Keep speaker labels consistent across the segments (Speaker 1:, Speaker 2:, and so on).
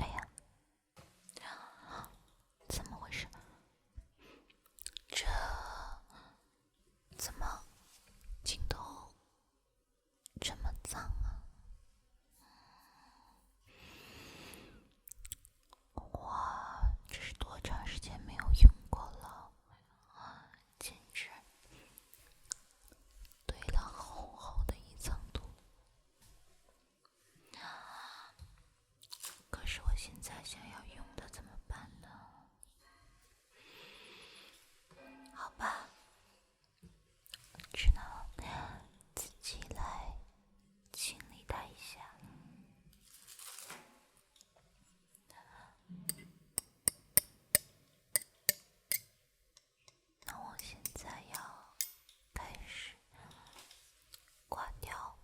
Speaker 1: 哎呀，怎么回事？这怎么镜头这么脏啊？哇，这是多长时间没有用过了啊！简直堆了厚厚的一层土。可是我现在想要用的怎么办呢？好吧，只能自己来清理它一下那我现在要开始刮掉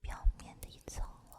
Speaker 1: 表面的一层了。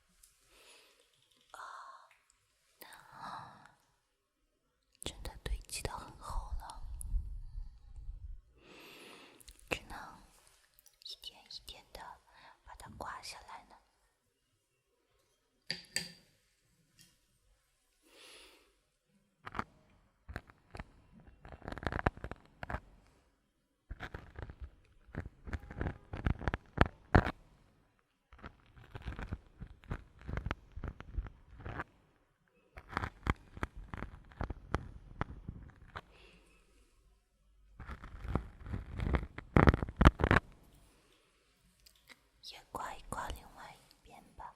Speaker 1: 啊，那啊，真的堆积得很厚了，只能一点一点的把它刮下来呢。也刮一刮另外一边吧。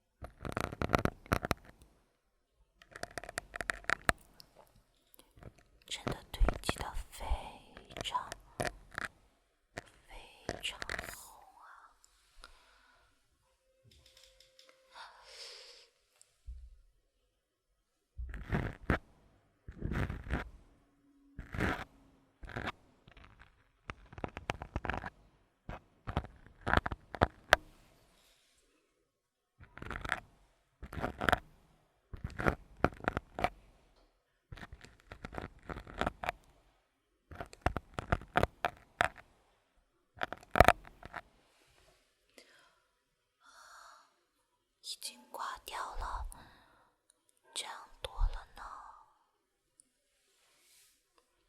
Speaker 1: 真的堆积得非常非常厚啊！已经挂掉了，这样多了呢。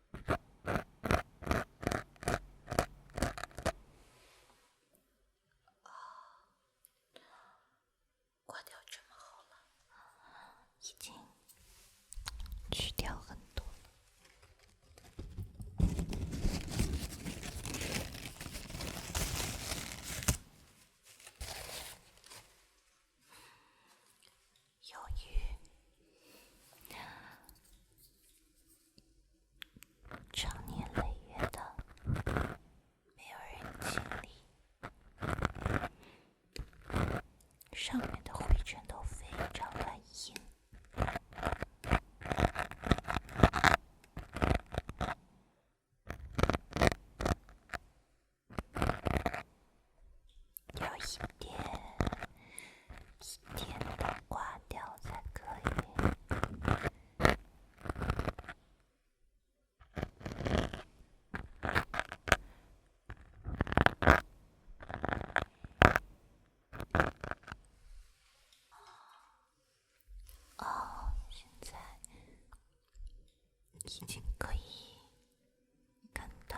Speaker 1: 啊，挂掉这么好了，已经去掉很多了，有余。长年累月的，没有人清理，上面的灰尘都非常顽硬，有一点。一点都挂掉才可以。已经可以看到。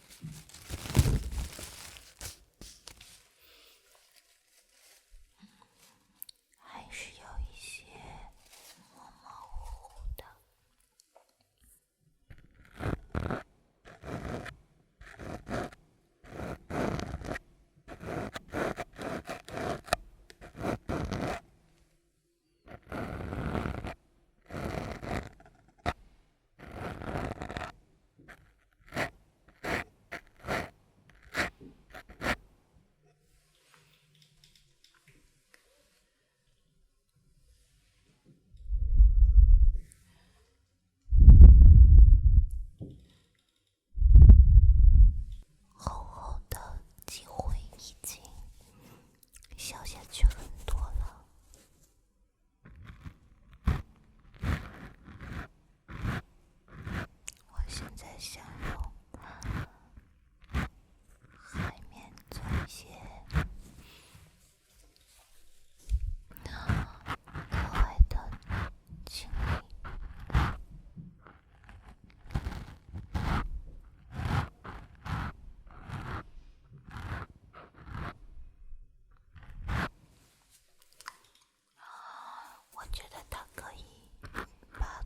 Speaker 1: 还是有一些模模糊糊的。好好的机会已经消下去很多了。我现在想用海绵做一些那可爱的景。我觉得它可以把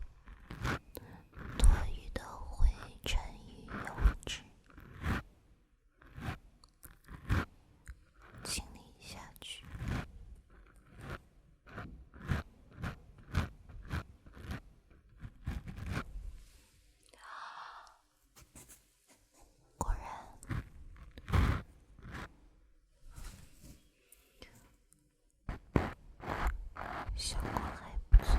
Speaker 1: 多余的灰尘与油脂清理下去。果然，效果还不错。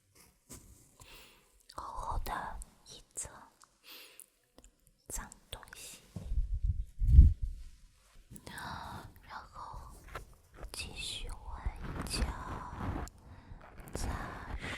Speaker 1: 厚厚的一层脏东西，然后继续换脚擦拭。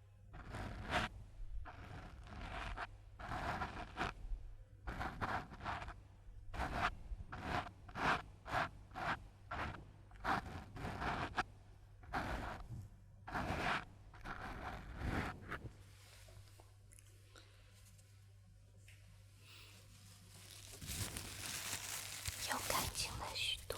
Speaker 1: 又干净了许多。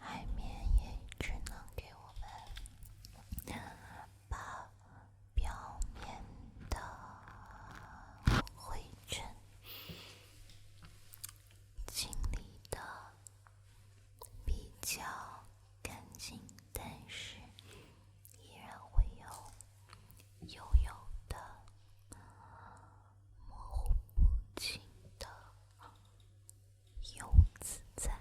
Speaker 1: 海绵也只能给我们把表面的灰尘清理的比较干净，但是依然会有油油的模糊不清的。油在，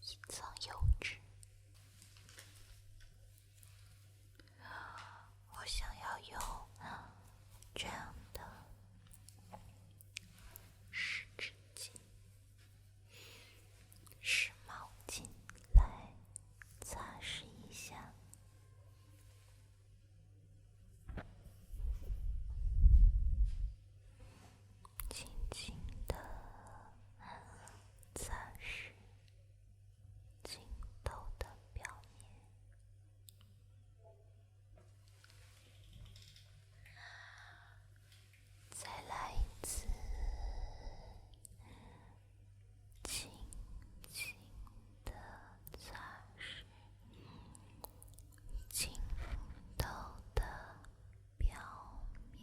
Speaker 1: 一层油我想要用这样的湿纸巾。用毛巾来擦拭一下，轻轻的擦拭镜头的表面。再来一次，轻轻的擦拭轻镜头的表面。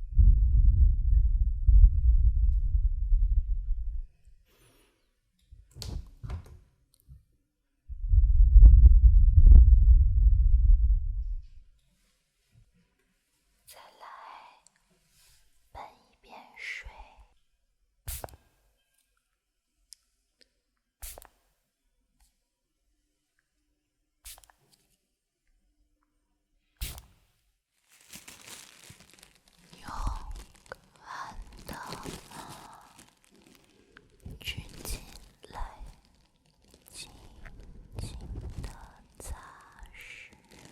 Speaker 1: 再来喷一遍水。勇敢的，卷起来，轻轻的擦拭，一遍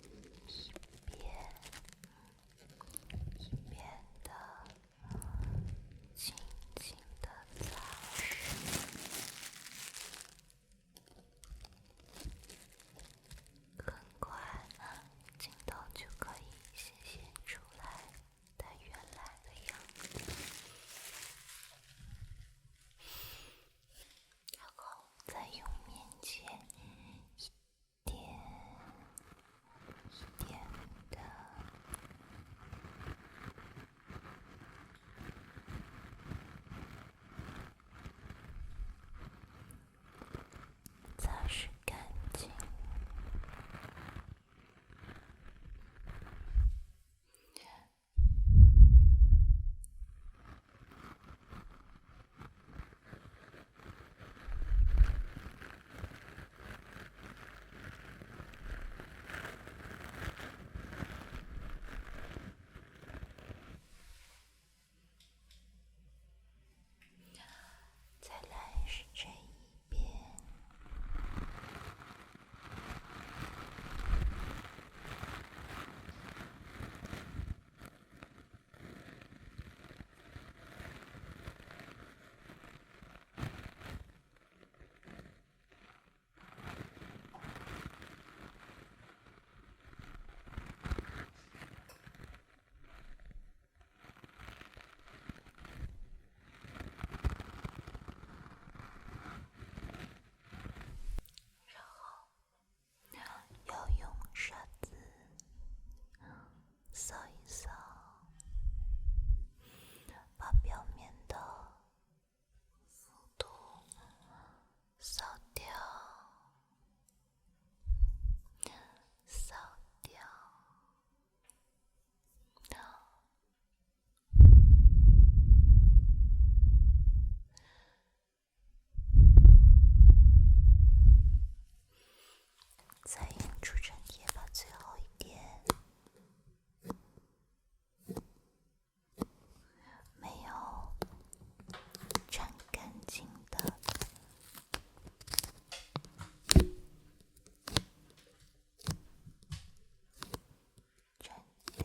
Speaker 1: 一遍的。轻轻地擦拭，很快呢，镜头就可以显现出来它原来的样子。然后再用棉签一点一点的。擦拭干净。再来是这一遍。然后要用刷子扫一扫，把表面的。再用出尘液把最后一点。没有，穿干净的，扔掉。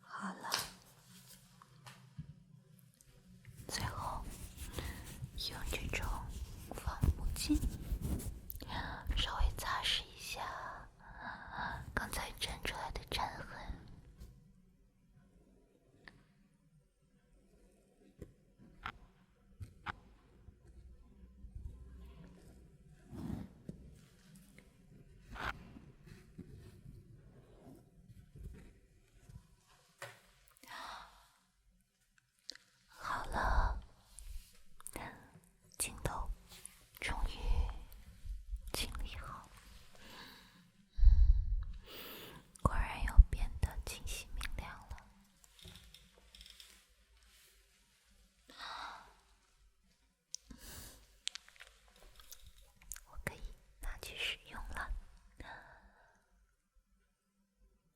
Speaker 1: 好了，最后。用这种防雾镜，稍微擦拭一下刚才粘出来的粘痕。好了，镜头终于清理好，果然又变得清晰明亮了，我可以拿去使用了。